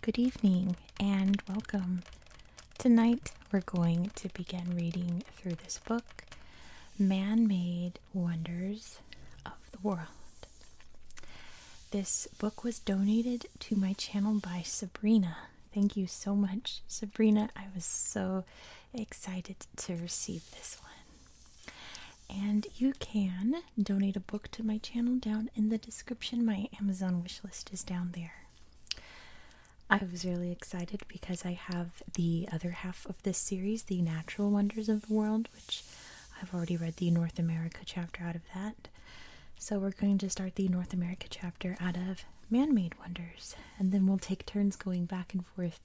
Good evening and welcome. Tonight we're going to begin reading through this book, Man Made Wonders of the World. This book was donated to my channel by Sabrina. Thank you so much, Sabrina. I was so excited to receive this one. And you can donate a book to my channel down in the description. My Amazon wish list is down there. I was really excited because I have the other half of this series, The Natural Wonders of the World, which I've already read the North America chapter out of that. So we're going to start the North America chapter out of Man Made Wonders and then we'll take turns going back and forth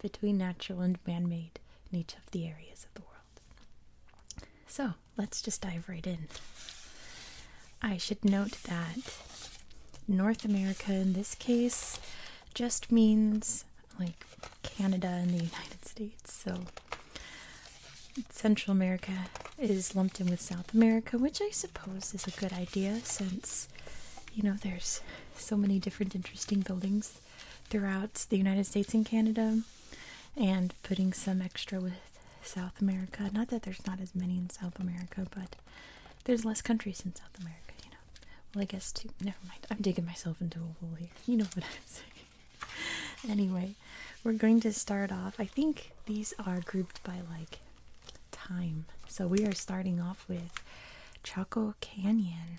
between natural and man made in each of the areas of the world. So let's just dive right in. I should note that North America in this case just means like Canada and the United States. So Central America is lumped in with South America, which I suppose is a good idea since you know there's so many different interesting buildings throughout the United States and Canada and putting some extra with South America. Not that there's not as many in South America, but there's less countries in South America, you know. Well, I guess too. Never mind. I'm digging myself into a hole here. You know what I'm saying. anyway, we're going to start off. I think these are grouped by like time. So we are starting off with Chaco Canyon.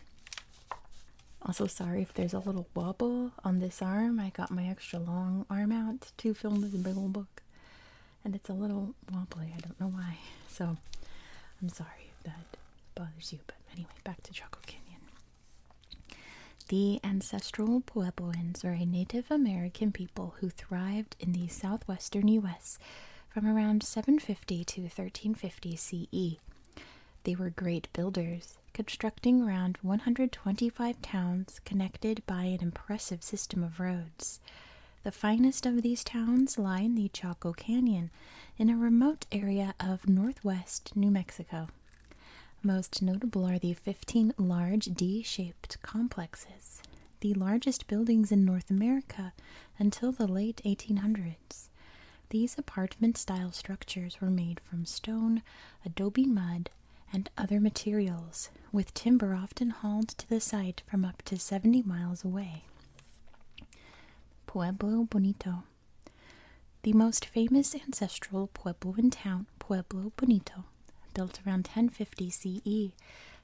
Also, sorry if there's a little wobble on this arm. I got my extra long arm out to film this big old book, and it's a little wobbly. I don't know why. So I'm sorry if that bothers you. But anyway, back to Chaco Canyon. The ancestral Puebloans are a Native American people who thrived in the southwestern U.S from around 750 to 1350 CE. They were great builders, constructing around 125 towns connected by an impressive system of roads. The finest of these towns lie in the Chaco Canyon, in a remote area of northwest New Mexico. Most notable are the 15 large D shaped complexes the largest buildings in North America until the late 1800s. These apartment style structures were made from stone, adobe mud, and other materials, with timber often hauled to the site from up to 70 miles away. Pueblo Bonito. The most famous ancestral pueblo in town, Pueblo Bonito, built around 1050 CE,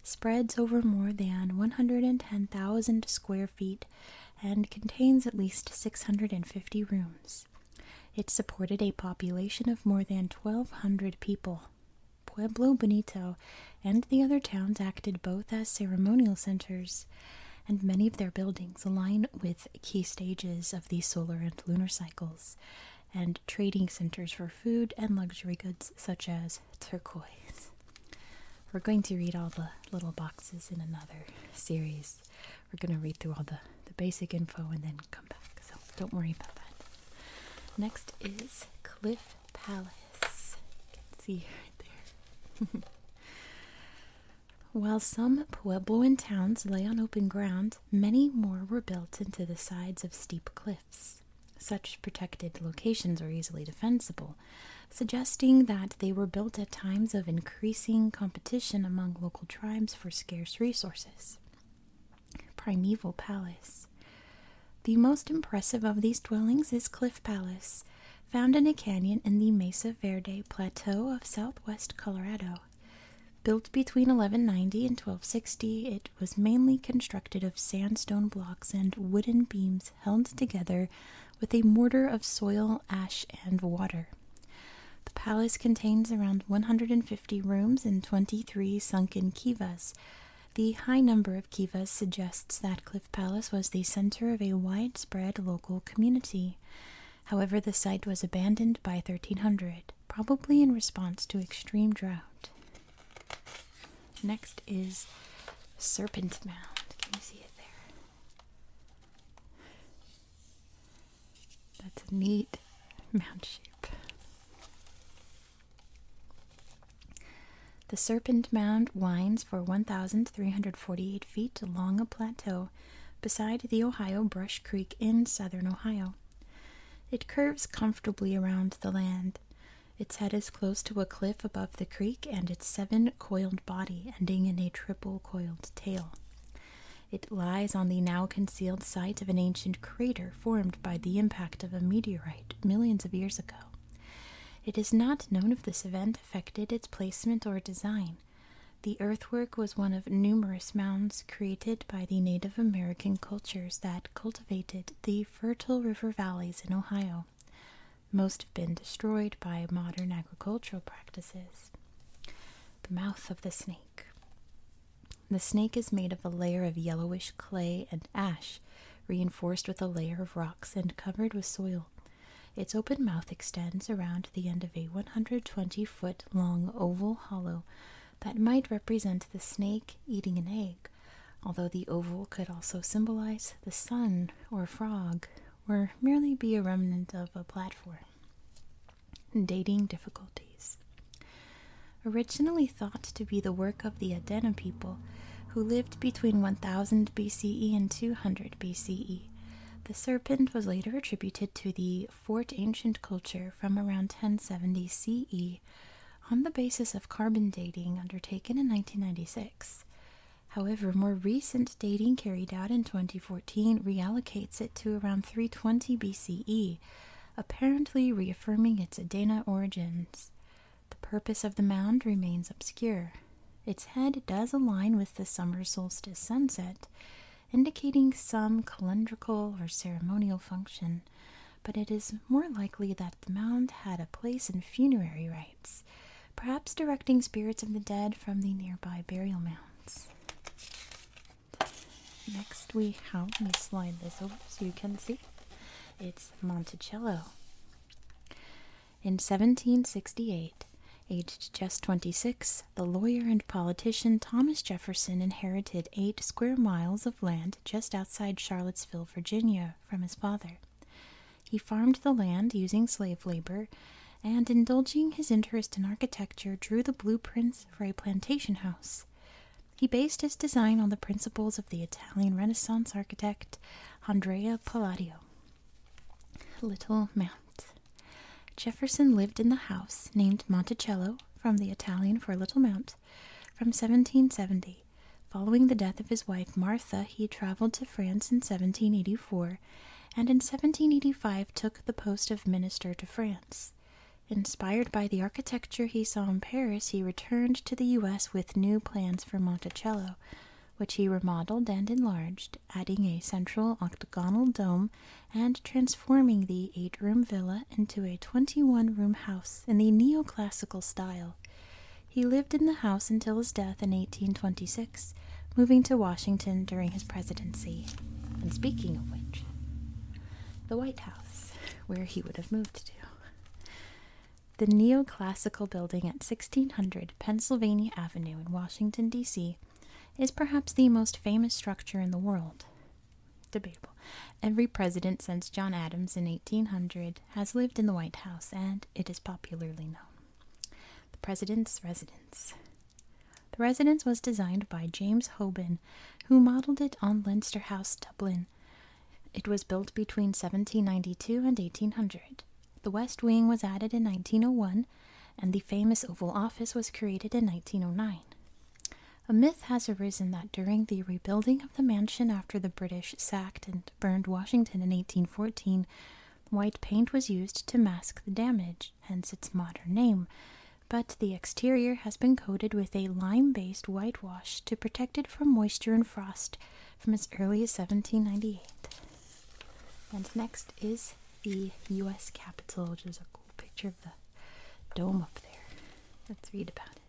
spreads over more than 110,000 square feet, and contains at least 650 rooms. It supported a population of more than 1,200 people. Pueblo Bonito and the other towns acted both as ceremonial centers, and many of their buildings align with key stages of the solar and lunar cycles, and trading centers for food and luxury goods such as turquoise. We're going to read all the little boxes in another series. We're going to read through all the, the basic info and then come back, so don't worry about that. Next is Cliff Palace. You can see right there. While some Puebloan towns lay on open ground, many more were built into the sides of steep cliffs. Such protected locations are easily defensible, suggesting that they were built at times of increasing competition among local tribes for scarce resources. Primeval Palace The most impressive of these dwellings is Cliff Palace, found in a canyon in the Mesa Verde Plateau of southwest Colorado. Built between 1190 and 1260, it was mainly constructed of sandstone blocks and wooden beams held together with a mortar of soil, ash, and water. The palace contains around 150 rooms and 23 sunken kivas. The high number of kivas suggests that Cliff Palace was the center of a widespread local community. However, the site was abandoned by 1300, probably in response to extreme drought. Next is Serpent Mound. Can you see it there? That's a neat mound shape. The Serpent Mound winds for 1,348 feet along a plateau beside the Ohio Brush Creek in southern Ohio. It curves comfortably around the land, its head is close to a cliff above the creek and its seven coiled body ending in a triple coiled tail. It lies on the now concealed site of an ancient crater formed by the impact of a meteorite millions of years ago. It is not known if this event affected its placement or design. The earthwork was one of numerous mounds created by the Native American cultures that cultivated the fertile river valleys in Ohio. Most have been destroyed by modern agricultural practices. The mouth of the snake. The snake is made of a layer of yellowish clay and ash, reinforced with a layer of rocks and covered with soil. Its open mouth extends around the end of a 120 foot long oval hollow that might represent the snake eating an egg although the oval could also symbolize the sun or frog or merely be a remnant of a platform. Dating difficulties. Originally thought to be the work of the Adena people, who lived between 1000 BCE and 200 BCE, the serpent was later attributed to the Fort Ancient culture from around 1070 CE on the basis of carbon dating undertaken in 1996. However, more recent dating carried out in 2014 reallocates it to around 320 BCE, apparently reaffirming its Adena origins. The purpose of the mound remains obscure. Its head does align with the summer solstice sunset, indicating some calendrical or ceremonial function, but it is more likely that the mound had a place in funerary rites, perhaps directing spirits of the dead from the nearby burial mounds. Next, we have, let me slide this over so you can see, it's Monticello. In 1768, aged just 26, the lawyer and politician Thomas Jefferson inherited eight square miles of land just outside Charlottesville, Virginia, from his father. He farmed the land using slave labor and, indulging his interest in architecture, drew the blueprints for a plantation house. He based his design on the principles of the Italian Renaissance architect Andrea Palladio. Little Mount. Jefferson lived in the house named Monticello from the Italian for Little Mount from 1770 Following the death of his wife Martha, he traveled to France in 1784 and in 1785 took the post of minister to France. Inspired by the architecture he saw in Paris, he returned to the U.S. with new plans for Monticello, which he remodeled and enlarged, adding a central octagonal dome and transforming the eight room villa into a 21 room house in the neoclassical style. He lived in the house until his death in 1826, moving to Washington during his presidency. And speaking of which, the White House, where he would have moved to. The neoclassical building at 1600 Pennsylvania Avenue in Washington, D.C., is perhaps the most famous structure in the world. Debatable. Every president since John Adams in 1800 has lived in the White House, and it is popularly known. The President's Residence. The residence was designed by James Hoban, who modeled it on Leinster House, Dublin. It was built between 1792 and 1800. The West Wing was added in 1901, and the famous Oval Office was created in 1909. A myth has arisen that during the rebuilding of the mansion after the British sacked and burned Washington in 1814, white paint was used to mask the damage, hence its modern name. But the exterior has been coated with a lime based whitewash to protect it from moisture and frost from as early as 1798. And next is the U.S. Capitol, which is a cool picture of the dome up there. Let's read about it.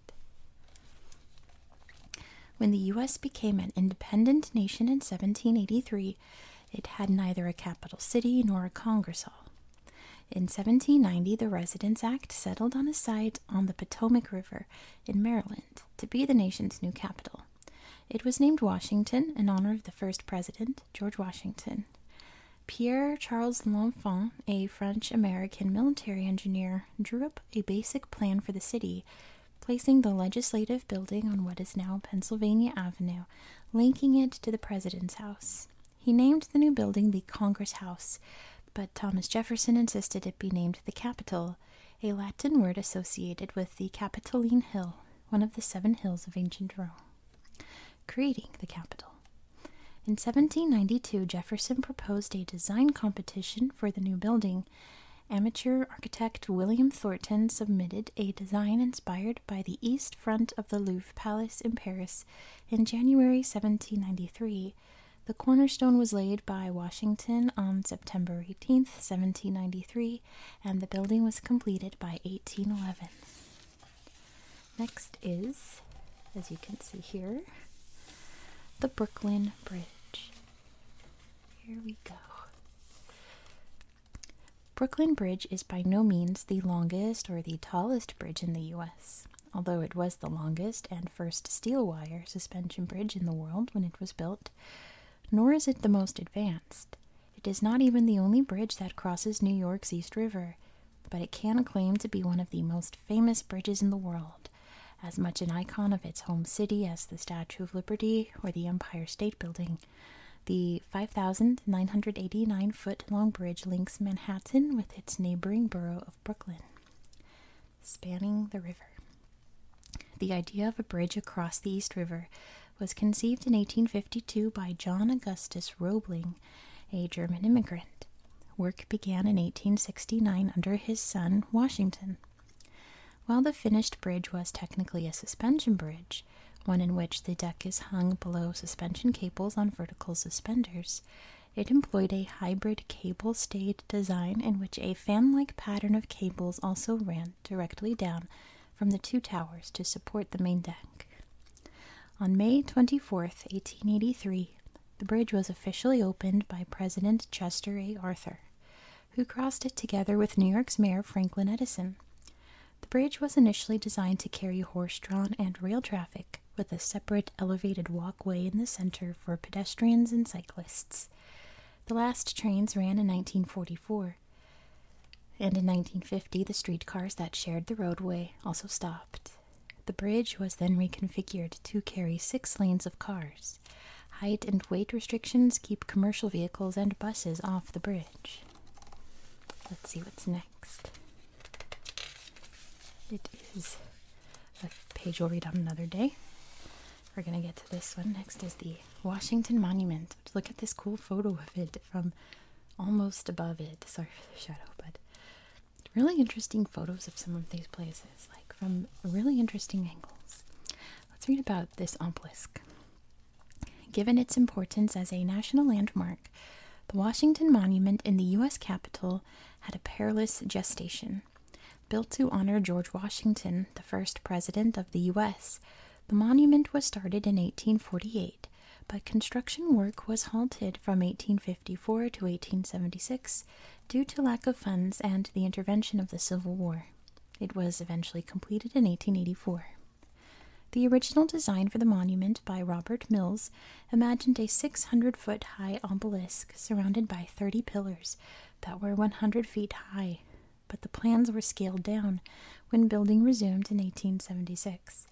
When the U.S. became an independent nation in 1783, it had neither a capital city nor a Congress hall. In 1790, the Residence Act settled on a site on the Potomac River in Maryland to be the nation's new capital. It was named Washington in honor of the first president, George Washington. Pierre Charles L'Enfant, a French American military engineer, drew up a basic plan for the city, placing the legislative building on what is now Pennsylvania Avenue, linking it to the President's House. He named the new building the Congress House, but Thomas Jefferson insisted it be named the Capitol, a Latin word associated with the Capitoline Hill, one of the seven hills of ancient Rome. Creating the Capitol. In 1792, Jefferson proposed a design competition for the new building. Amateur architect William Thornton submitted a design inspired by the east front of the Louvre Palace in Paris in January 1793. The cornerstone was laid by Washington on September eighteenth, 1793, and the building was completed by 1811. Next is as you can see here, the Brooklyn Bridge. Here we go. Brooklyn Bridge is by no means the longest or the tallest bridge in the US, although it was the longest and first steel wire suspension bridge in the world when it was built, nor is it the most advanced. It is not even the only bridge that crosses New York's East River, but it can claim to be one of the most famous bridges in the world as much an icon of its home city as the Statue of Liberty or the Empire State Building. The 5,989 foot long bridge links Manhattan with its neighboring borough of Brooklyn, spanning the river. The idea of a bridge across the East River was conceived in 1852 by John Augustus Roebling, a German immigrant. Work began in 1869 under his son, Washington. While the finished bridge was technically a suspension bridge, one in which the deck is hung below suspension cables on vertical suspenders, it employed a hybrid cable stayed design in which a fan like pattern of cables also ran directly down from the two towers to support the main deck. On May twenty fourth, 1883, the bridge was officially opened by President Chester A. Arthur, who crossed it together with New York's Mayor Franklin Edison. The bridge was initially designed to carry horse drawn and rail traffic, with a separate elevated walkway in the center for pedestrians and cyclists. The last trains ran in 1944, and in 1950, the streetcars that shared the roadway also stopped. The bridge was then reconfigured to carry six lanes of cars. Height and weight restrictions keep commercial vehicles and buses off the bridge. Let's see what's next. It is a page we'll read on another day. We're going to get to this one. Next is the Washington Monument. Look at this cool photo of it from almost above it. Sorry for the shadow, but really interesting photos of some of these places, like from really interesting angles. Let's read about this obelisk. Given its importance as a national landmark, the Washington Monument in the U.S. Capitol had a perilous gestation. Built to honor George Washington, the first president of the U.S., the monument was started in 1848, but construction work was halted from 1854 to 1876 due to lack of funds and the intervention of the Civil War. It was eventually completed in 1884. The original design for the monument by Robert Mills imagined a 600 foot high obelisk surrounded by 30 pillars that were 100 feet high, but the plans were scaled down when building resumed in 1876.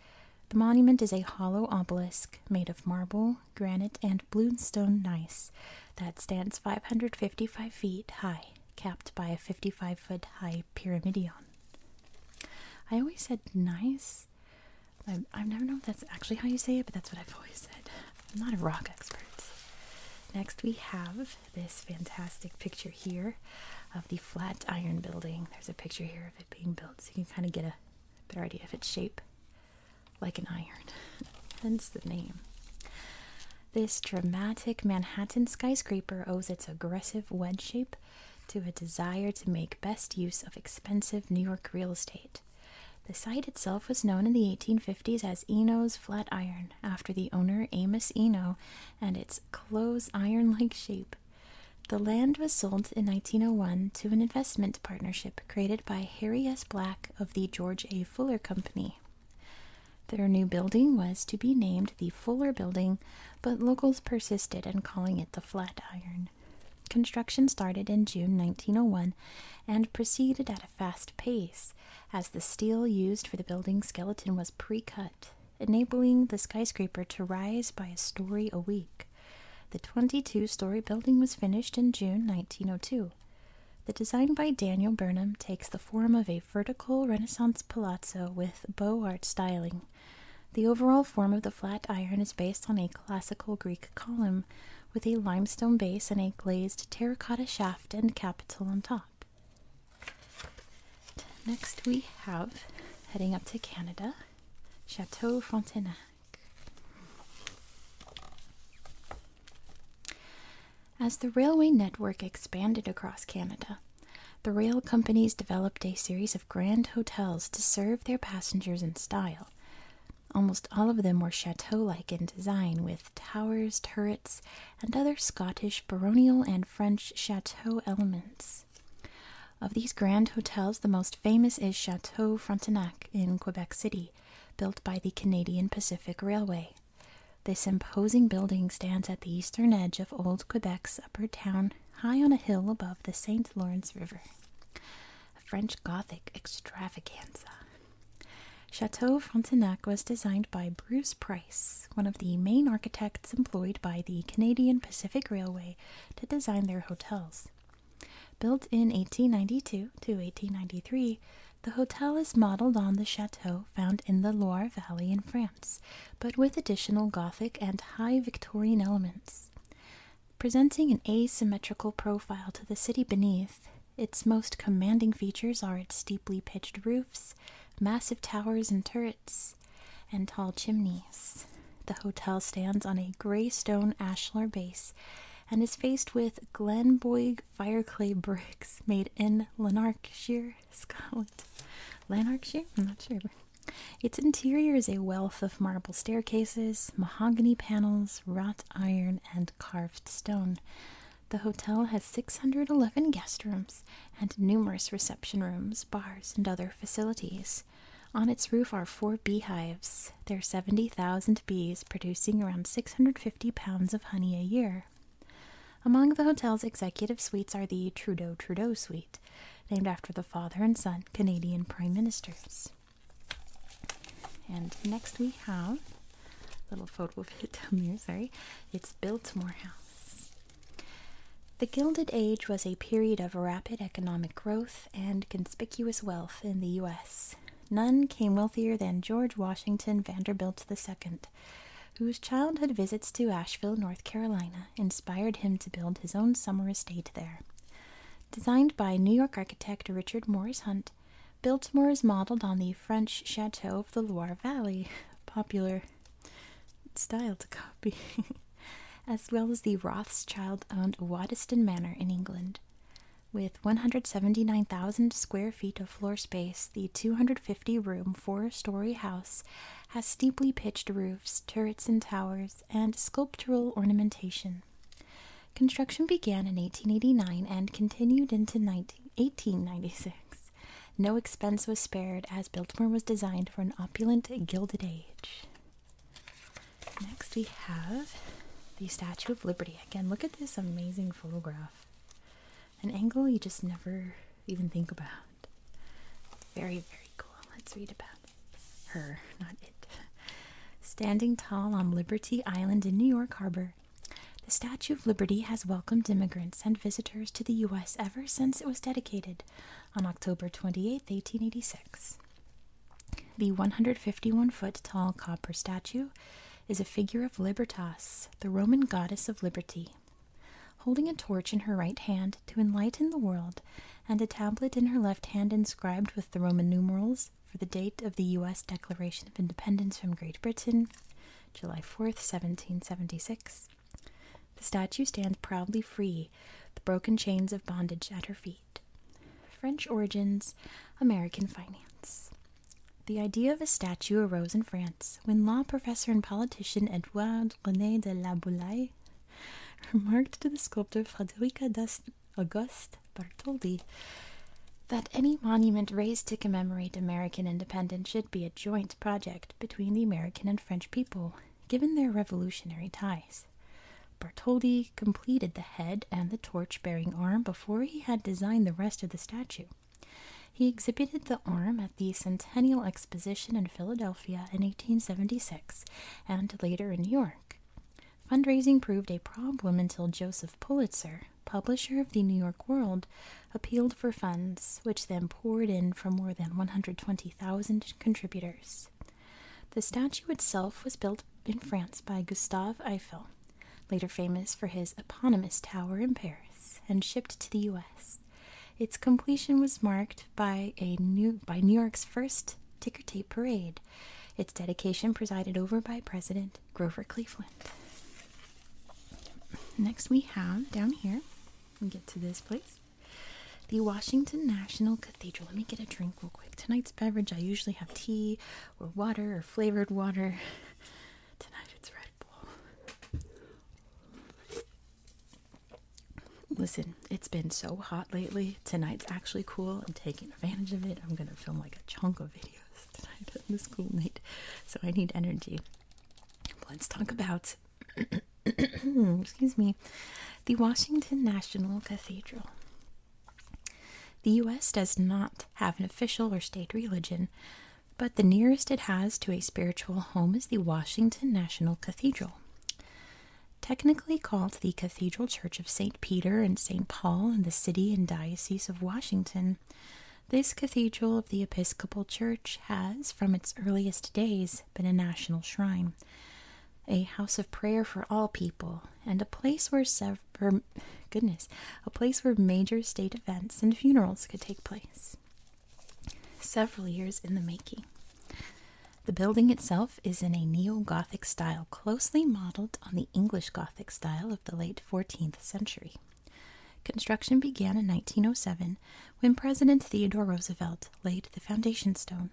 The monument is a hollow obelisk made of marble, granite, and bloomstone gneiss that stands 555 feet high, capped by a 55 foot high pyramidion. I always said nice. I, have never know if that's actually how you say it, but that's what I've always said. I'm not a rock expert. Next, we have this fantastic picture here of the Flatiron Building. There's a picture here of it being built, so you can kind of get a better idea of its shape like an iron, hence the name. This dramatic Manhattan skyscraper owes its aggressive wedge shape to a desire to make best use of expensive New York real estate. The site itself was known in the 1850s as Eno's Flatiron, after the owner Amos Eno, and its close iron like shape. The land was sold in 1901 to an investment partnership created by Harry S. Black of the George A. Fuller Company. Their new building was to be named the Fuller Building, but locals persisted in calling it the Flatiron. Construction started in June 1901 and proceeded at a fast pace, as the steel used for the building's skeleton was pre cut, enabling the skyscraper to rise by a story a week. The 22 story building was finished in June 1902. The design by Daniel Burnham takes the form of a vertical Renaissance palazzo with beaux art styling. The overall form of the Flatiron is based on a classical Greek column with a limestone base and a glazed terracotta shaft and capital on top. Next, we have heading up to Canada, Chateau Frontenac. As the railway network expanded across Canada, the rail companies developed a series of grand hotels to serve their passengers in style. Almost all of them were chateau like in design, with towers, turrets, and other Scottish baronial and French chateau elements. Of these grand hotels, the most famous is Chateau Frontenac in Quebec City, built by the Canadian Pacific Railway. This imposing building stands at the eastern edge of old Quebec's upper town, high on a hill above the St. Lawrence River. A French Gothic extravaganza. Chateau Frontenac was designed by Bruce Price, one of the main architects employed by the Canadian Pacific Railway to design their hotels. Built in 1892 to 1893, the hotel is modeled on the chateau found in the Loire Valley in France, but with additional Gothic and high Victorian elements. Presenting an asymmetrical profile to the city beneath, its most commanding features are its steeply pitched roofs, massive towers and turrets, and tall chimneys. The hotel stands on a gray stone ashlar base and is faced with Glenboig fireclay bricks made in Lanarkshire, Scotland. Lanarkshire? I'm not sure. Its interior is a wealth of marble staircases, mahogany panels, wrought iron, and carved stone. The hotel has 611 guest rooms and numerous reception rooms, bars, and other facilities. On its roof are four beehives. There are 70,000 bees producing around 650 pounds of honey a year. Among the hotel's executive suites are the Trudeau Trudeau Suite, named after the father and son Canadian prime ministers. And next we have a little photo of it down there, sorry. It's Biltmore House. The Gilded Age was a period of rapid economic growth and conspicuous wealth in the U.S. None came wealthier than George Washington Vanderbilt II, whose childhood visits to Asheville, North Carolina, inspired him to build his own summer estate there. Designed by New York architect Richard Morris Hunt, Biltmore is modeled on the French chateau of the Loire Valley, popular style to copy, as well as the Rothschild owned Waddesdon Manor in England. With 179,000 square feet of floor space, the 250 room, four story house has steeply pitched roofs, turrets, and towers, and sculptural ornamentation. Construction began in 1889 and continued into 1896. No expense was spared as Biltmore was designed for an opulent Gilded Age. Next, we have the Statue of Liberty. Again, look at this amazing photograph. An angle you just never even think about. Very, very cool. Let's read about her, not it. Standing tall on Liberty Island in New York Harbor, the Statue of Liberty has welcomed immigrants and visitors to the U.S. ever since it was dedicated on October 28, 1886. The 151 foot tall copper statue is a figure of Libertas, the Roman goddess of liberty. Holding a torch in her right hand to enlighten the world, and a tablet in her left hand inscribed with the Roman numerals for the date of the U.S. Declaration of Independence from Great Britain, July 4th, 1776, the statue stands proudly free, the broken chains of bondage at her feet. French Origins, American Finance. The idea of a statue arose in France when law professor and politician Edouard René de la Boulaye remarked to the sculptor Frederica d'Auguste Bartholdi that any monument raised to commemorate American independence should be a joint project between the American and French people, given their revolutionary ties lives. Bartoldi completed the head and the torch bearing arm before he had designed the rest of the statue. He exhibited the arm at the Centennial Exposition in Philadelphia in 1876 and later in New York. Fundraising proved a problem until Joseph Pulitzer, publisher of the New York World, appealed for funds, which then poured in from more than 120,000 contributors. The statue itself was built in France by Gustave Eiffel, later famous for his eponymous tower in Paris, and shipped to the U.S. Its completion was marked by a new by New York's first ticker tape parade. Its dedication presided over by President Grover Cleveland. Next, we have down here. We get to this place. The Washington National Cathedral. Let me get a drink real quick. Tonight's beverage, I usually have tea or water or flavored water. Tonight it's Red Bull. Listen, it's been so hot lately. Tonight's actually cool. I'm taking advantage of it. I'm going to film like a chunk of videos tonight this cool night. So I need energy. Let's talk about. excuse me, the Washington National Cathedral. The U.S. does not have an official or state religion, but the nearest it has to a spiritual home is the Washington National Cathedral. Technically called the Cathedral Church of St. Peter and St. Paul in the city and diocese of Washington, this cathedral of the Episcopal Church has, from its earliest days, been a national shrine a house of prayer for all people, and a place where sev goodness, a place where major state events and funerals could take place. Several years in the making. The building itself is in a neo-Gothic style closely modeled on the English Gothic style of the late 14th century. Construction began in 1907 when President Theodore Roosevelt laid the foundation stone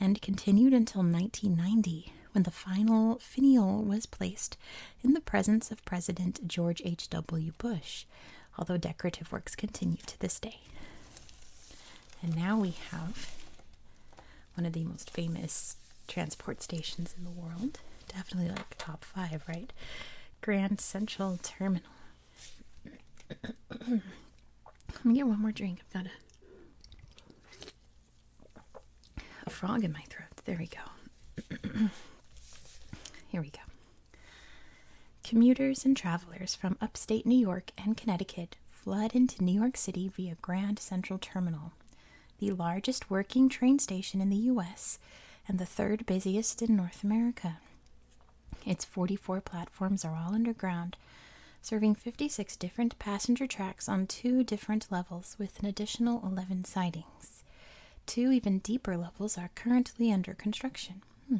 and continued until 1990 when the final finial was placed in the presence of President George H.W. Bush, although decorative works continue to this day. And now we have one of the most famous transport stations in the world. Definitely like top five, right? Grand Central Terminal. Let me get one more drink. I've got a a frog in my throat. There we go. Here we go. Commuters and travelers from upstate New York and Connecticut flood into New York City via Grand Central Terminal, the largest working train station in the U.S. and the third busiest in North America. Its 44 platforms are all underground serving 56 different passenger tracks on two different levels with an additional 11 sidings. Two even deeper levels are currently under construction. Hmm.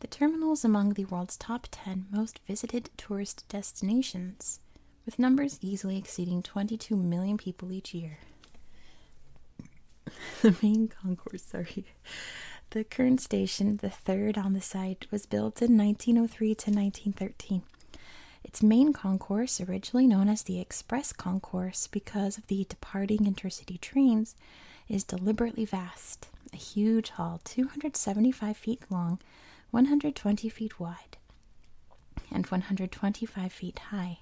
The terminal is among the world's top 10 most visited tourist destinations, with numbers easily exceeding 22 million people each year. the main concourse, sorry. The current station, the third on the site, was built in 1903 to 1913. Its main concourse, originally known as the Express Concourse because of the departing intercity trains, is deliberately vast, a huge hall 275 feet long, 120 feet wide, and 125 feet high,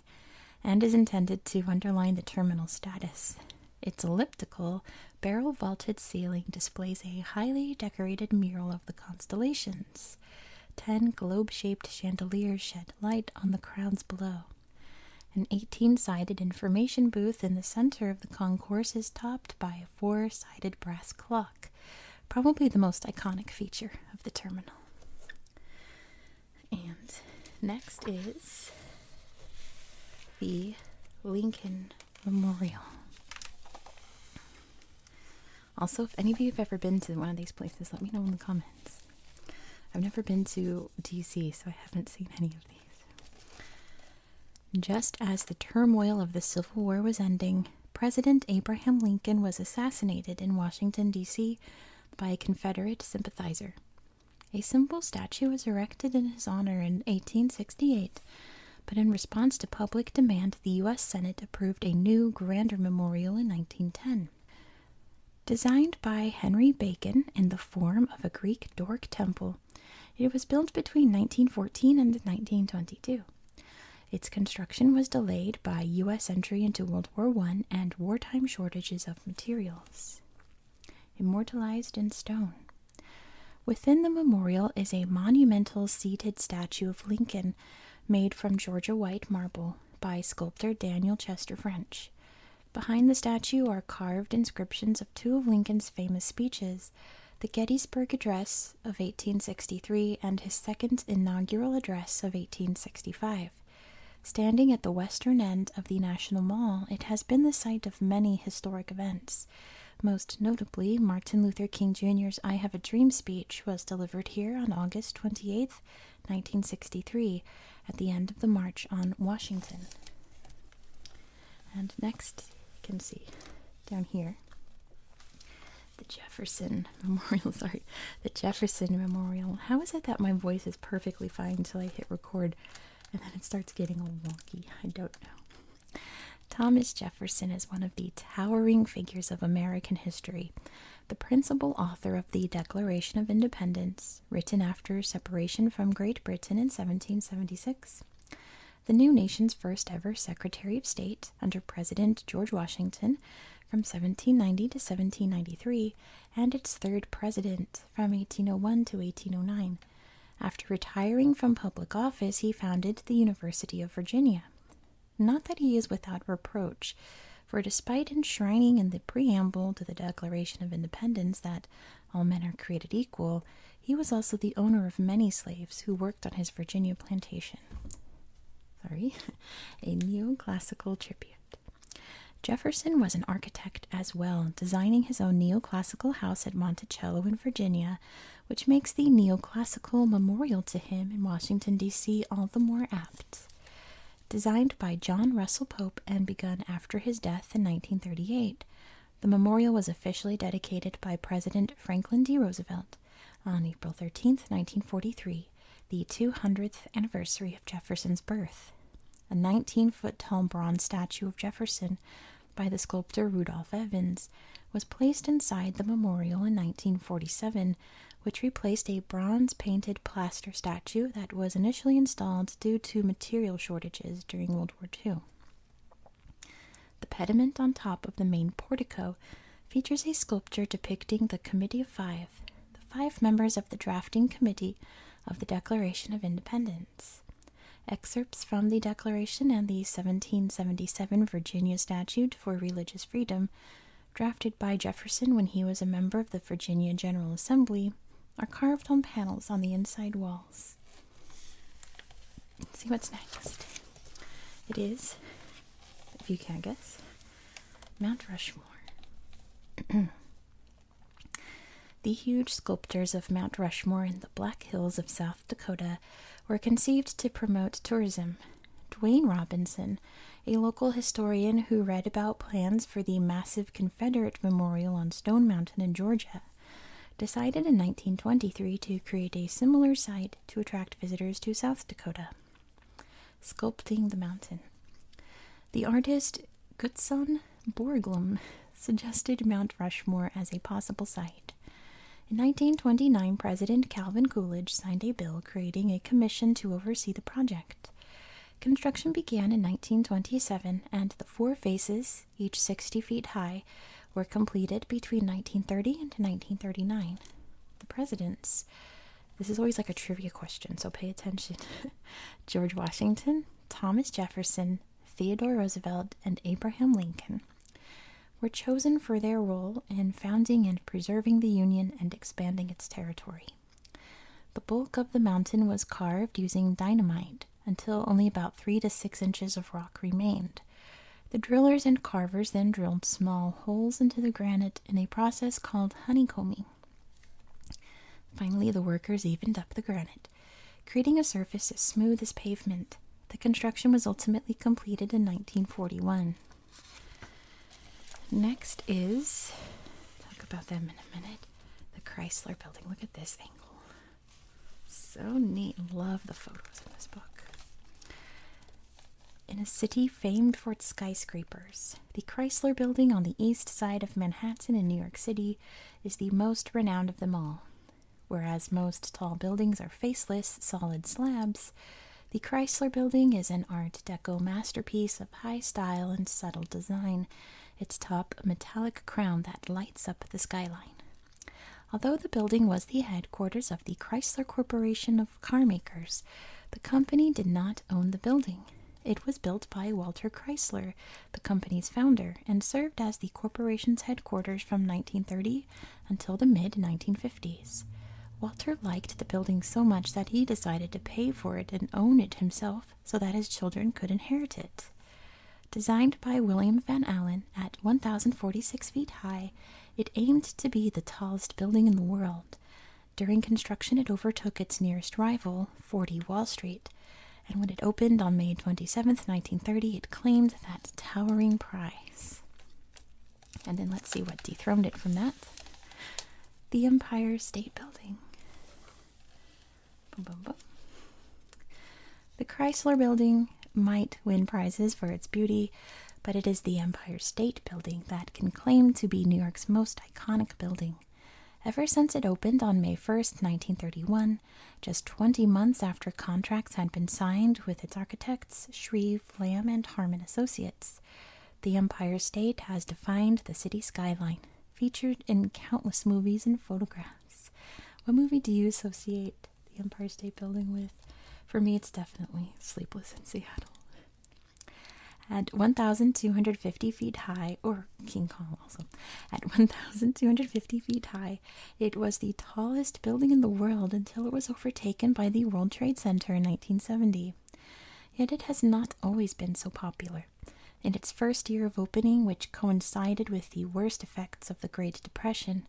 and is intended to underline the terminal status. Its elliptical, barrel vaulted ceiling displays a highly decorated mural of the constellations. Ten globe shaped chandeliers shed light on the crowds below. An 18 sided information booth in the center of the concourse is topped by a four sided brass clock, probably the most iconic feature of the terminal. And next is the Lincoln Memorial. Also, if any of you have ever been to one of these places, let me know in the comments. I've never been to DC, so I haven't seen any of these. Just as the turmoil of the Civil War was ending, President Abraham Lincoln was assassinated in Washington, D.C. by a Confederate sympathizer. A simple statue was erected in his honor in 1868 but in response to public demand, the U.S. Senate approved a new, grander memorial in 1910. Designed by Henry Bacon in the form of a Greek Doric temple, it was built between 1914 and 1922. Its construction was delayed by U.S. entry into World War I and wartime shortages of materials. Immortalized in stone. Within the memorial is a monumental seated statue of Lincoln made from Georgia white marble by sculptor Daniel Chester French. Behind the statue are carved inscriptions of two of Lincoln's famous speeches the Gettysburg Address of 1863 and his second inaugural address of 1865. Standing at the western end of the National Mall, it has been the site of many historic events. Most notably, Martin Luther King Jr.'s I Have a Dream speech was delivered here on August twenty-eighth, 1963, at the end of the March on Washington. And next, you can see down here the Jefferson Memorial. Sorry, the Jefferson Memorial. How is it that my voice is perfectly fine until I hit record and then it starts getting all wonky? I don't know. Thomas Jefferson is one of the towering figures of American history, the principal author of the Declaration of Independence, written after separation from Great Britain in 1776, the new nation's first ever Secretary of State under President George Washington from 1790 to 1793, and its third president from 1801 to 1809. After retiring from public office, he founded the University of Virginia. Not that he is without reproach, for despite enshrining in the preamble to the Declaration of Independence that all men are created equal, he was also the owner of many slaves who worked on his Virginia plantation. Sorry, a neoclassical tribute. Jefferson was an architect as well, designing his own neoclassical house at Monticello in Virginia, which makes the neoclassical memorial to him in Washington, D.C., all the more apt. Designed by John Russell Pope and begun after his death in 1938, the memorial was officially dedicated by President Franklin D. Roosevelt on April 13, 1943, the 200th anniversary of Jefferson's birth. A 19 foot tall bronze statue of Jefferson by the sculptor Rudolph Evans, was placed inside the memorial in 1947, which replaced a bronze painted plaster statue that was initially installed due to material shortages during World War II. The pediment on top of the main portico features a sculpture depicting the Committee of Five, the five members of the drafting committee of the Declaration of Independence. Excerpts from the Declaration and the 1777 Virginia Statute for Religious Freedom, drafted by Jefferson when he was a member of the Virginia General Assembly, are carved on panels on the inside walls. see what's next. It is, if you can guess, Mount Rushmore. the huge sculptures of Mount Rushmore in the Black Hills of South Dakota were conceived to promote tourism. Dwayne Robinson, a local historian who read about plans for the massive Confederate memorial on Stone Mountain in Georgia, decided in 1923 to create a similar site to attract visitors to South Dakota. Sculpting the mountain. The artist Gutzon Borglum suggested Mount Rushmore as a possible site. In 1929, President Calvin Coolidge signed a bill creating a commission to oversee the project. Construction began in 1927, and the four faces, each 60 feet high, were completed between 1930 and 1939. The presidents. This is always like a trivia question, so pay attention. George Washington, Thomas Jefferson, Theodore Roosevelt, and Abraham Lincoln were chosen for their role in founding and preserving the Union and expanding its territory. The bulk of the mountain was carved using dynamite until only about three to six inches of rock remained. The drillers and carvers then drilled small holes into the granite in a process called honeycombing. Finally, the workers evened up the granite creating a surface as smooth as pavement. The construction was ultimately completed in 1941. Next is, talk about them in a minute, the Chrysler Building. Look at this angle. So neat. Love the photos in this book. In a city famed for its skyscrapers, the Chrysler Building on the east side of Manhattan in New York City is the most renowned of them all. Whereas most tall buildings are faceless, solid slabs, the Chrysler Building is an Art Deco masterpiece of high style and subtle design, its top a metallic crown that lights up the skyline. Although the building was the headquarters of the Chrysler Corporation of Carmakers, the company did not own the building. It was built by Walter Chrysler, the company's founder, and served as the corporation's headquarters from 1930 until the mid 1950s. Walter liked the building so much that he decided to pay for it and own it himself so that his children could inherit it. Designed by William Van Allen at 1,046 feet high, it aimed to be the tallest building in the world. During construction, it overtook its nearest rival, 40 Wall Street, and when it opened on May twenty-seventh, 1930, it claimed that towering prize. And then let's see what dethroned it from that. The Empire State Building. The Chrysler Building might win prizes for its beauty, but it is the Empire State Building that can claim to be New York's most iconic building. Ever since it opened on May 1st, 1931, just 20 months after contracts had been signed with its architects Shreve, Lamb, and Harmon Associates. The Empire State has defined the city skyline, featured in countless movies and photographs. What movie do you associate the Empire State Building with? For me, it's definitely Sleepless in Seattle. At 1,250 feet high, or King Kong also, at 1,250 feet high, it was the tallest building in the world until it was overtaken by the World Trade Center in 1970. Yet it has not always been so popular. In its first year of opening, which coincided with the worst effects of the Great Depression,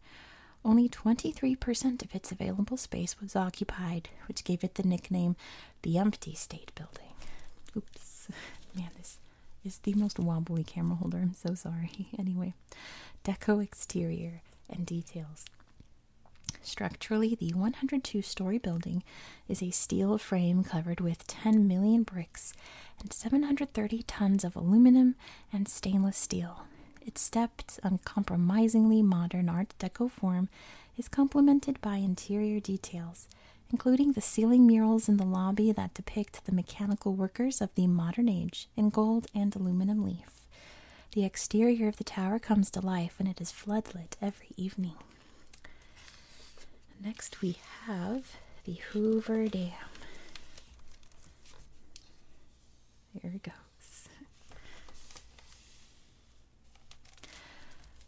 only 23% of its available space was occupied, which gave it the nickname the Empty State Building. Oops, man, this is the most wobbly camera holder. I'm so sorry. Anyway, deco exterior and details. Structurally, the 102 story building is a steel frame covered with 10 million bricks and 730 tons of aluminum and stainless steel. Its stepped, uncompromisingly modern Art Deco form is complemented by interior details, including the ceiling murals in the lobby that depict the mechanical workers of the modern age in gold and aluminum leaf. The exterior of the tower comes to life when it is floodlit every evening. Next, we have the Hoover Dam. There it goes.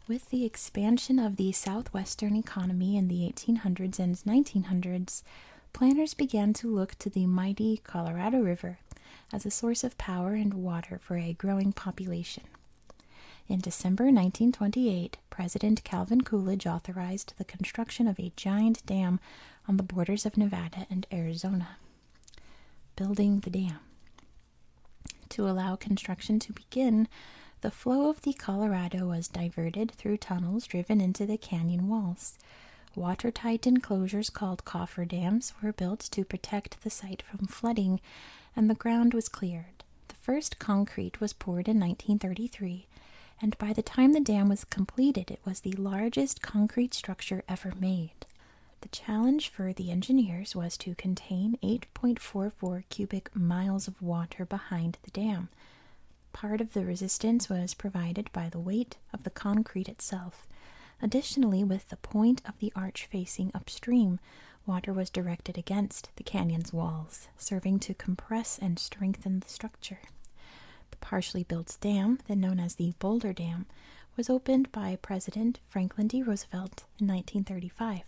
With the expansion of the southwestern economy in the 1800s and 1900s, planners began to look to the mighty Colorado River as a source of power and water for a growing population. In December 1928, President Calvin Coolidge authorized the construction of a giant dam on the borders of Nevada and Arizona. Building the dam. To allow construction to begin, the flow of the Colorado was diverted through tunnels driven into the canyon walls. Watertight enclosures called cofferdams were built to protect the site from flooding, and the ground was cleared. The first concrete was poured in 1933, and by the time the dam was completed, it was the largest concrete structure ever made. The challenge for the engineers was to contain 8.44 cubic miles of water behind the dam. Part of the resistance was provided by the weight of the concrete itself. Additionally, with the point of the arch facing upstream, water was directed against the canyon's walls, serving to compress and strengthen the structure. The partially built dam, then known as the Boulder Dam, was opened by President Franklin D. Roosevelt in 1935.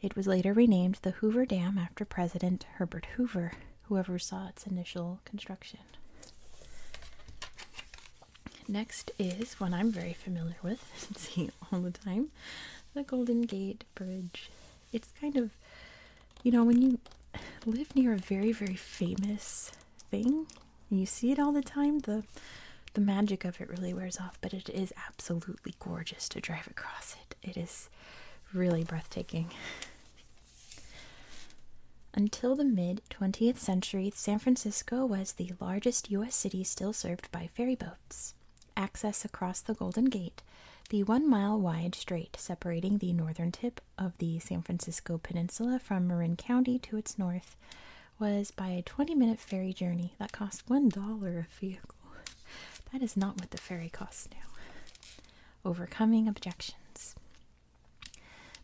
It was later renamed the Hoover Dam after President Herbert Hoover, who oversaw its initial construction. Next is one I'm very familiar with, I see all the time, the Golden Gate Bridge. It's kind of, you know, when you live near a very, very famous thing, you see it all the time, the the magic of it really wears off, but it is absolutely gorgeous to drive across it. It is really breathtaking. Until the mid 20th century, San Francisco was the largest U.S. city still served by ferry boats. Access across the Golden Gate, the one mile wide strait separating the northern tip of the San Francisco Peninsula from Marin County to its north, was by a 20 minute ferry journey that cost $1 a vehicle. That is not what the ferry costs now. Overcoming objections.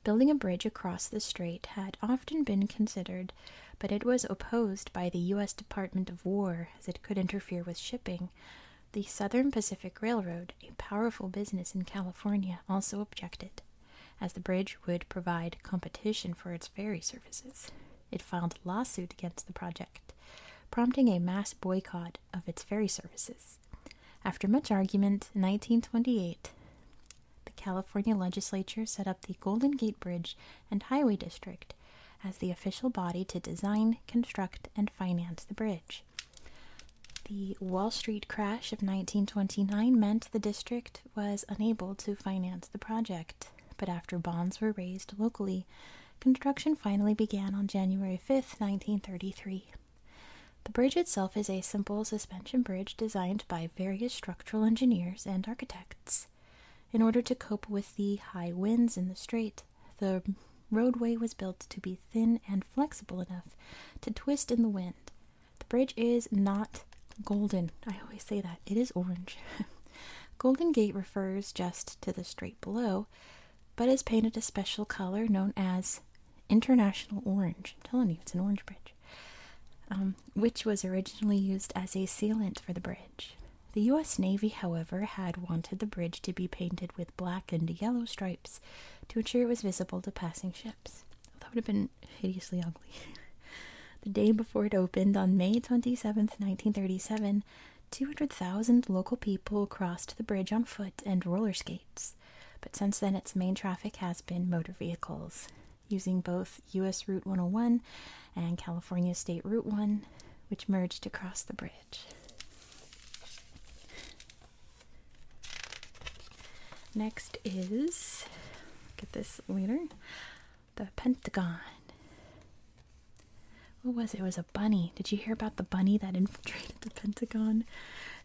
Building a bridge across the strait had often been considered, but it was opposed by the U.S. Department of War as it could interfere with shipping. The Southern Pacific Railroad, a powerful business in California, also objected, as the bridge would provide competition for its ferry services. It filed a lawsuit against the project, prompting a mass boycott of its ferry services. After much argument, in 1928, the California legislature set up the Golden Gate Bridge and Highway District as the official body to design, construct, and finance the bridge. The Wall Street crash of 1929 meant the district was unable to finance the project, but after bonds were raised locally, construction finally began on January 5, 1933. The bridge itself is a simple suspension bridge designed by various structural engineers and architects. In order to cope with the high winds in the strait, the roadway was built to be thin and flexible enough to twist in the wind. The bridge is not golden. I always say that. It is orange. golden Gate refers just to the strait below, but is painted a special color known as International Orange. I'm telling you, it's an orange bridge. Um, which was originally used as a sealant for the bridge. The U.S. Navy, however, had wanted the bridge to be painted with black and yellow stripes to ensure it was visible to passing ships. That would have been hideously ugly. the day before it opened, on May 27, 1937, 200,000 local people crossed the bridge on foot and roller skates but since then its main traffic has been motor vehicles using both US Route 101 and California State Route 1, which merged across the bridge. Next is, get this later, the Pentagon. What was it? was a bunny. Did you hear about the bunny that inf infiltrated the Pentagon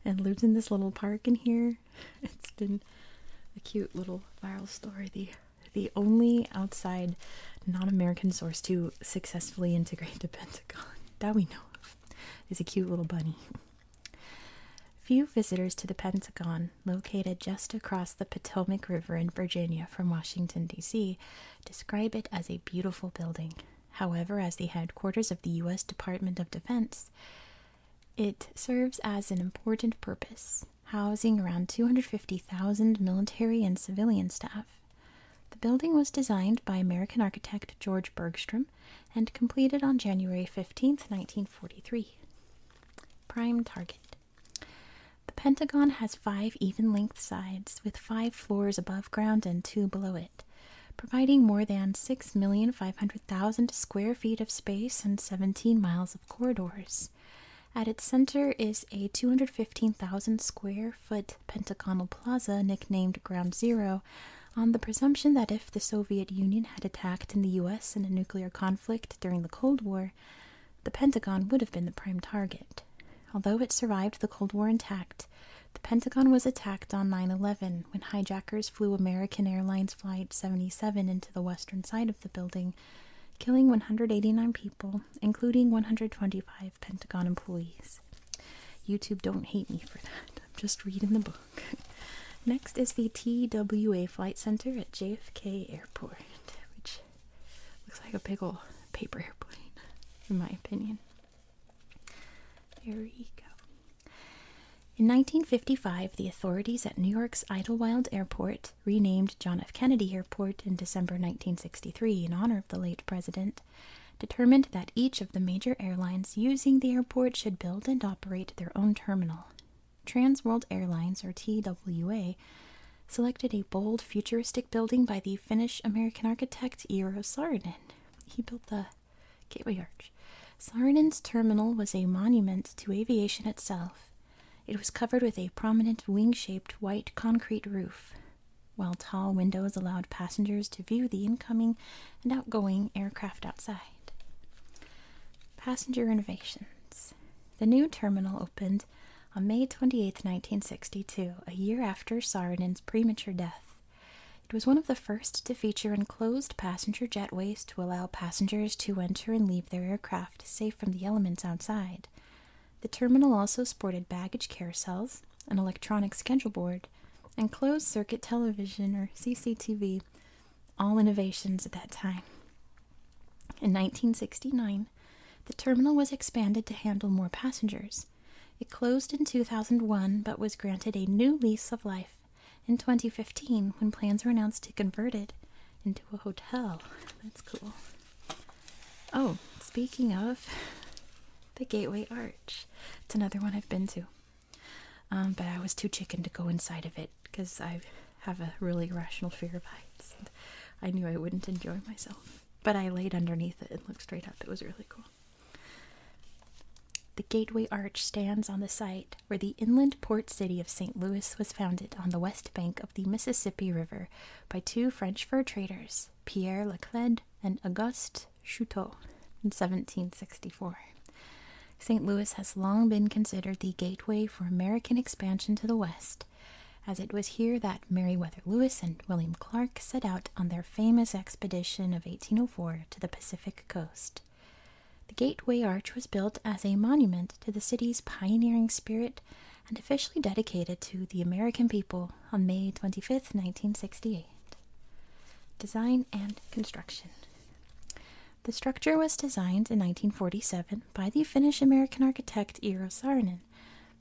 and lived in this little park in here. It's been a cute little viral story. The the only outside non-American source to successfully integrate the Pentagon that we know of is a cute little bunny. Few visitors to the Pentagon, located just across the Potomac River in Virginia from Washington, D.C., describe it as a beautiful building. However, as the headquarters of the U.S. Department of Defense, it serves as an important purpose, housing around 250,000 military and civilian staff. The building was designed by American architect George Bergstrom and completed on January 15, 1943. Prime target. The Pentagon has five even length sides with five floors above ground and two below it providing more than 6,500,000 square feet of space and 17 miles of corridors. At its center is a 215,000 square foot pentagonal plaza nicknamed Ground Zero, on the presumption that if the Soviet Union had attacked the US in a nuclear conflict during the Cold War, the Pentagon would have been the prime target. Although it survived the Cold War intact, the Pentagon was attacked on 9 11 when hijackers flew American Airlines Flight 77 into the western side of the building, killing 189 people, including 125 Pentagon employees. YouTube, don't hate me for that. I'm just reading the book. Next is the TWA Flight Center at JFK Airport, which looks like a big old paper airplane, in my opinion. There you go. In 1955, the authorities at New York's Idlewild Airport, renamed John F. Kennedy Airport in December 1963 in honor of the late president, determined that each of the major airlines using the airport should build and operate their own terminal. Trans World Airlines, or TWA, selected a bold, futuristic building by the Finnish American architect Eero Saarinen. He built the Gateway Arch. Saarinen's terminal was a monument to aviation itself. It was covered with a prominent wing shaped white concrete roof, while tall windows allowed passengers to view the incoming and outgoing aircraft outside. Passenger innovations. The new terminal opened on May 28, 1962, a year after Saarinen's premature death. It was one of the first to feature enclosed passenger jetways to allow passengers to enter and leave their aircraft safe from the elements outside. The terminal also sported baggage carousels, an electronic schedule board, and closed circuit television or CCTV, all innovations at that time. In 1969, the terminal was expanded to handle more passengers. It closed in 2001 but was granted a new lease of life in 2015 when plans were announced to convert it into a hotel. That's cool. Oh, speaking of the Gateway Arch, it's another one I've been to. Um, but I was too chicken to go inside of it because I have a really irrational fear of heights. And I knew I wouldn't enjoy myself. But I laid underneath it and looked straight up. It was really cool. The Gateway Arch stands on the site where the inland port city of St. Louis was founded on the west bank of the Mississippi River by two French fur traders, Pierre Laclede and Auguste Chouteau, in 1764. St. Louis has long been considered the gateway for American expansion to the west, as it was here that Meriwether Lewis and William Clark set out on their famous expedition of 1804 to the Pacific coast. The Gateway Arch was built as a monument to the city's pioneering spirit and officially dedicated to the American people on May twenty fifth, 1968. Design and Construction The structure was designed in 1947 by the Finnish American architect Eero Saarinen,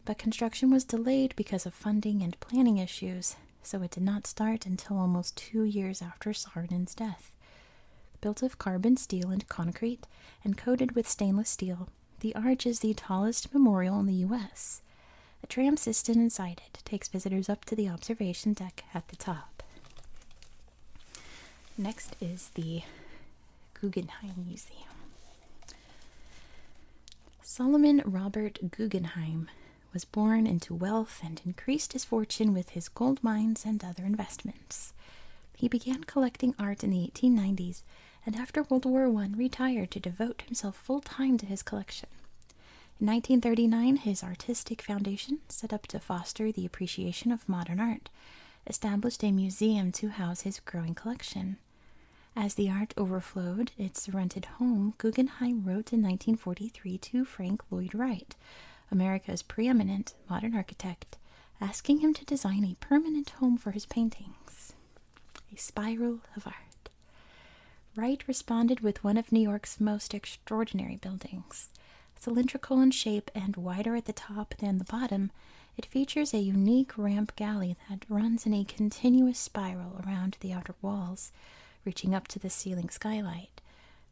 but construction was delayed because of funding and planning issues so it did not start until almost two years after Sarnen's death. Built of carbon steel and concrete and coated with stainless steel, the arch is the tallest memorial in the U.S. A tram system inside it takes visitors up to the observation deck at the top. Next is the Guggenheim Museum. Solomon Robert Guggenheim was born into wealth and increased his fortune with his gold mines and other investments. He began collecting art in the 1890s and after World War I retired to devote himself full time to his collection. In 1939, his artistic foundation, set up to foster the appreciation of modern art, established a museum to house his growing collection. As the art overflowed its rented home, Guggenheim wrote in 1943 to Frank Lloyd Wright, America's preeminent modern architect, asking him to design a permanent home for his paintings, a spiral of art. Wright responded with one of New York's most extraordinary buildings. Cylindrical in shape and wider at the top than the bottom, it features a unique ramp gallery that runs in a continuous spiral around the outer walls, reaching up to the ceiling skylight.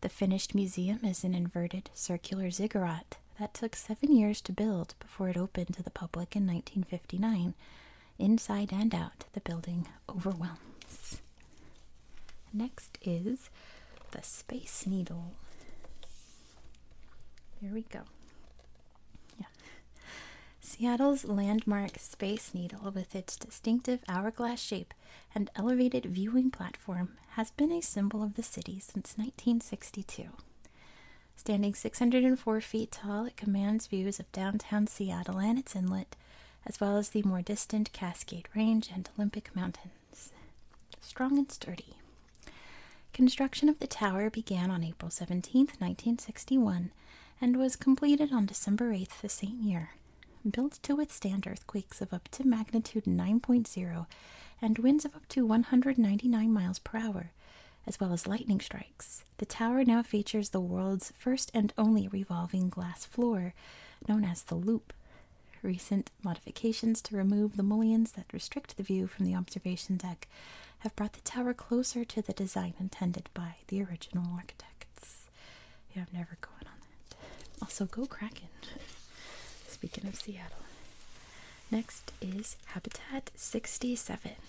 The finished museum is an inverted circular ziggurat that took seven years to build before it opened to the public in 1959. Inside and out, the building overwhelms. Next is the Space Needle. There we go. Seattle's landmark Space Needle, with its distinctive hourglass shape and elevated viewing platform, has been a symbol of the city since 1962. Standing 604 feet tall, it commands views of downtown Seattle and its inlet, as well as the more distant Cascade Range and Olympic Mountains. Strong and sturdy. Construction of the tower began on April 17, 1961, and was completed on December 8th the same year. Built to withstand earthquakes of up to magnitude 9.0 and winds of up to 199 miles per hour, as well as lightning strikes, the tower now features the world's first and only revolving glass floor, known as the Loop. Recent modifications to remove the mullions that restrict the view from the observation deck have brought the tower closer to the design intended by the original architects. Yeah, I'm never going on that. Also, go Kraken. Speaking of Seattle. Next is Habitat 67. Here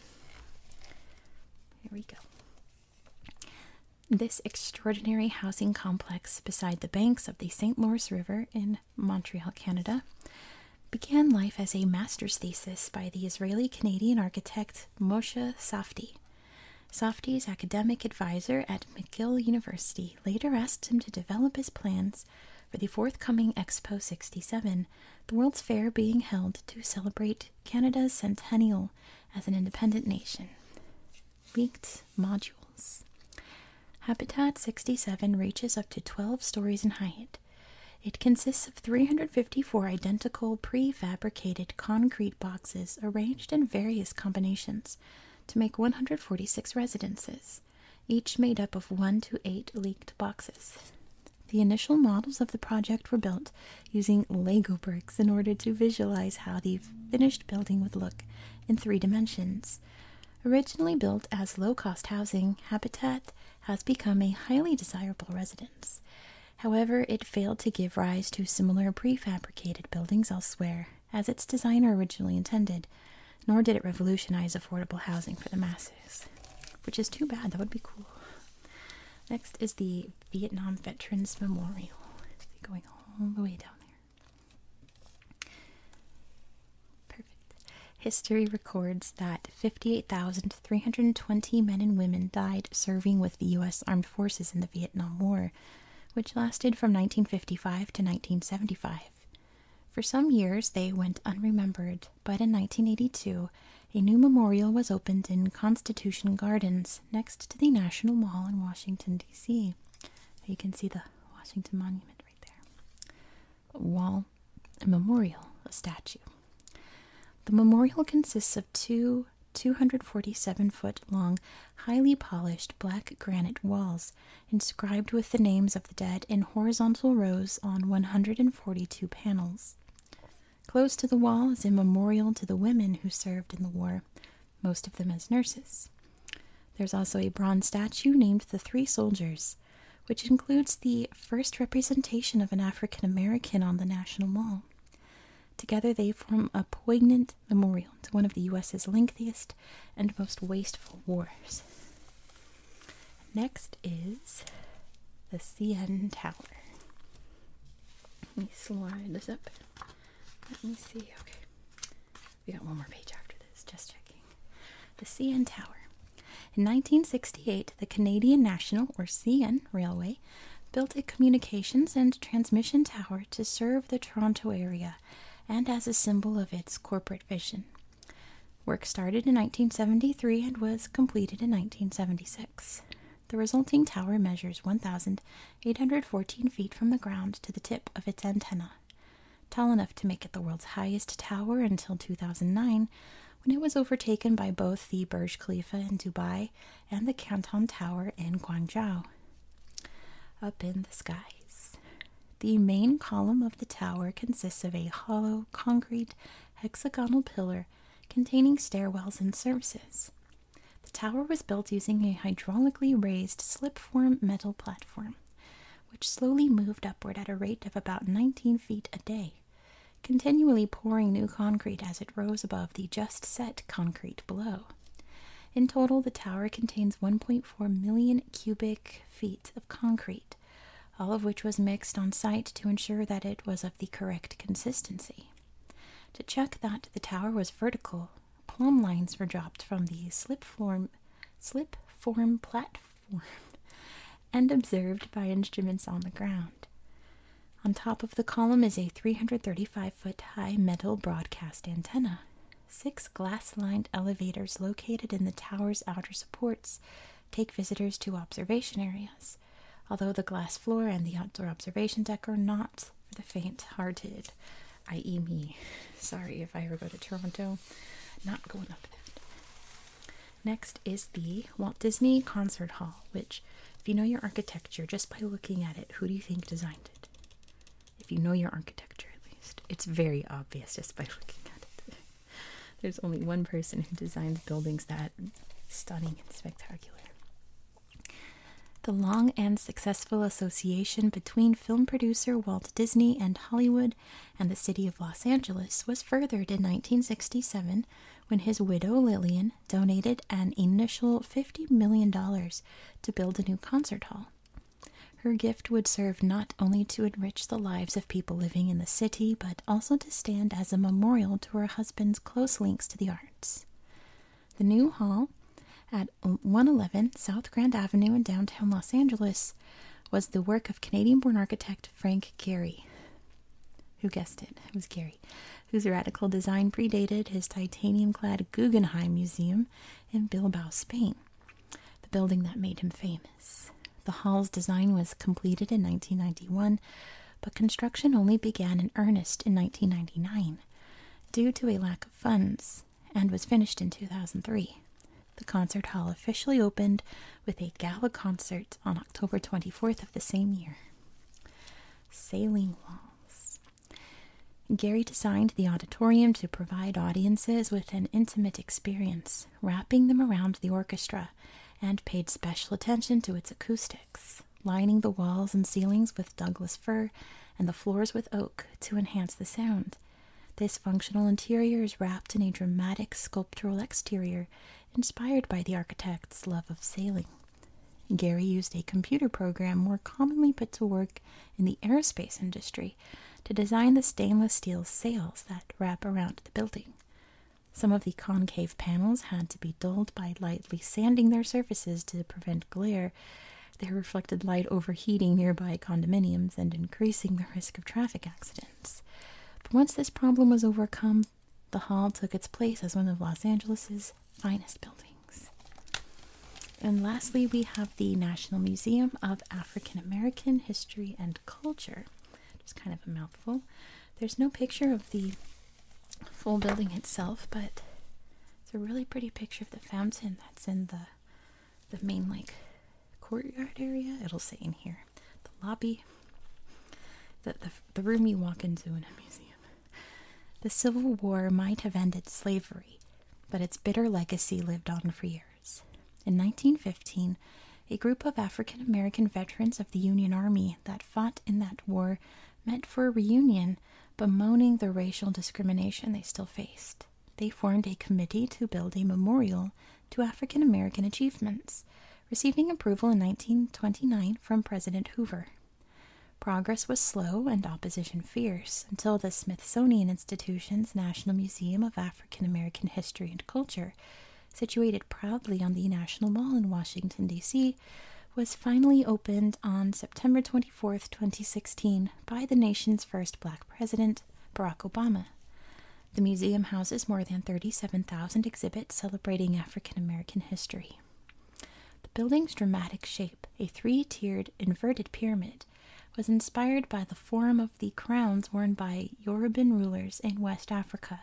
we go. This extraordinary housing complex beside the banks of the St. Lawrence River in Montreal, Canada, began life as a master's thesis by the Israeli Canadian architect Moshe Softy, Softy's academic advisor at McGill University later asked him to develop his plans for the forthcoming Expo 67, the World's Fair being held to celebrate Canada's centennial as an independent nation. Leaked modules. Habitat 67 reaches up to 12 stories in height. It consists of 354 identical prefabricated concrete boxes arranged in various combinations to make 146 residences, each made up of 1 to 8 leaked boxes. The initial models of the project were built using Lego bricks in order to visualize how the finished building would look in three dimensions. Originally built as low cost housing, Habitat has become a highly desirable residence. However, it failed to give rise to similar prefabricated buildings elsewhere, as its designer originally intended, nor did it revolutionize affordable housing for the masses, which is too bad. That would be cool. Next is the Vietnam Veterans Memorial, going all the way down there. Perfect. History records that 58,000 320 men and women died serving with the U.S. Armed Forces in the Vietnam War, which lasted from 1955 to 1975. For some years, they went unremembered, but in 1982, a new memorial was opened in Constitution Gardens next to the National Mall in Washington, D.C. You can see the Washington Monument right there. wall, memorial, statue. The memorial consists of two 247 foot long, highly polished black granite walls inscribed with the names of the dead in horizontal rows on 142 panels. Close to the wall is a memorial to the women who served in the war, most of them as nurses. There's also a bronze statue named the Three Soldiers, which includes the first representation of an African American on the National Mall. Together, they form a poignant memorial to one of the U.S.'s lengthiest and most wasteful wars. Next is the CN Tower. Let me slide this up. Let me see. Okay. We got one more page after this, just checking. The CN Tower. In 1968, the Canadian National, or CN, Railway built a communications and transmission tower to serve the Toronto area and as a symbol of its corporate vision. Work started in 1973 and was completed in 1976. The resulting tower measures 1,814 feet from the ground to the tip of its antenna. Tall enough to make it the world's highest tower until 2009, when it was overtaken by both the Burj Khalifa in Dubai and the Canton Tower in Guangzhou. Up in the skies. The main column of the tower consists of a hollow, concrete, hexagonal pillar containing stairwells and services. The tower was built using a hydraulically raised slip-form metal platform, which slowly moved upward at a rate of about 19 feet a day continually pouring new concrete as it rose above the just set concrete below. In total, the tower contains 1.4 million cubic feet of concrete, all of which was mixed on site to ensure that it was of the correct consistency. To check that the tower was vertical, plumb lines were dropped from the slip form, slip form platform and observed by instruments on the ground. On top of the column is a 335 foot high metal broadcast antenna. Six glass lined elevators located in the tower's outer supports take visitors to observation areas, although the glass floor and the outdoor observation deck are not for the faint hearted, i.e., me. Sorry if I ever go to Toronto, not going up that. Next is the Walt Disney Concert Hall, which, if you know your architecture, just by looking at it, who do you think designed it? If you know your architecture, at least, it's very obvious just by looking at it. There's only one person who designs buildings that stunning and spectacular. The long and successful association between film producer Walt Disney and Hollywood and the city of Los Angeles was furthered in 1967 when his widow Lillian donated an initial $50 million to build a new concert hall. Her gift would serve not only to enrich the lives of people living in the city, but also to stand as a memorial to her husband's close links to the arts. The new hall at 111 South Grand Avenue in downtown Los Angeles was the work of Canadian born architect Frank Gehry. Who guessed it? It was Gehry, whose radical design predated his titanium clad Guggenheim Museum in Bilbao, Spain, the building that made him famous. The hall's design was completed in 1991, but construction only began in earnest in 1999 due to a lack of funds and was finished in 2003. The concert hall officially opened with a gala concert on October 24th of the same year. Sailing walls. Gary designed the auditorium to provide audiences with an intimate experience, wrapping them around the orchestra, and paid special attention to its acoustics, lining the walls and ceilings with Douglas fir and the floors with oak to enhance the sound. This functional interior is wrapped in a dramatic sculptural exterior inspired by the architect's love of sailing. Gary used a computer program more commonly put to work in the aerospace industry to design the stainless steel sails that wrap around the building. Some of the concave panels had to be dulled by lightly sanding their surfaces to prevent glare, their reflected light overheating nearby condominiums and increasing the risk of traffic accidents. But once this problem was overcome, the hall took its place as one of Los Angeles's finest buildings. And lastly, we have the National Museum of African American History and Culture. Just kind of a mouthful. There's no picture of the full building itself, but it's a really pretty picture of the fountain that's in the the main like courtyard area. It'll say in here the lobby that the, the room you walk into in a museum. The Civil War might have ended slavery, but its bitter legacy lived on for years. In 1915, a group of African American veterans of the Union Army that fought in that war met for a reunion, bemoaning the racial discrimination they still faced. They formed a committee to build a memorial to African American achievements receiving approval in 1929 from President Hoover. Progress was slow and opposition fierce until the Smithsonian Institution's National Museum of African American History and Culture, situated proudly on the National Mall in Washington, D.C., was finally opened on September 24, 2016, by the nation's first black president, Barack Obama. The museum houses more than 37,000 exhibits celebrating African American history. The building's dramatic shape, a three tiered inverted pyramid, was inspired by the form of the crowns worn by Yoruban rulers in West Africa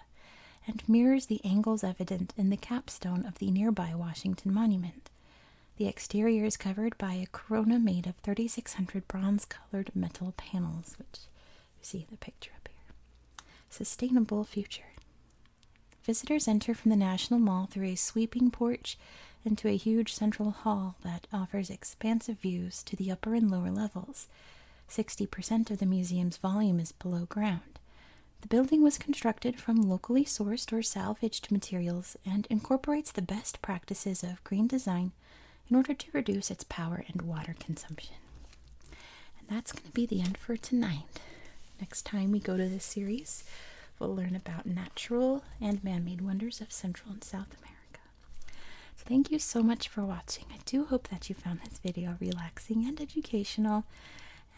and mirrors the angles evident in the capstone of the nearby Washington Monument. The exterior is covered by a corona made of 3,600 bronze colored metal panels, which see the picture up here. Sustainable future. Visitors enter from the National Mall through a sweeping porch into a huge central hall that offers expansive views to the upper and lower levels. 60% of the museum's volume is below ground. The building was constructed from locally sourced or salvaged materials and incorporates the best practices of green design in order to reduce its power and water consumption. And that's going to be the end for tonight. Next time we go to this series, we'll learn about natural and man made wonders of Central and South America. thank you so much for watching. I do hope that you found this video relaxing and educational,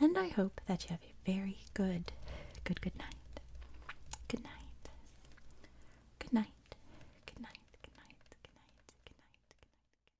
and I hope that you have a very good, good, Good night. Good night. Good night. Good night. Good night. Good night. Good night. Good night.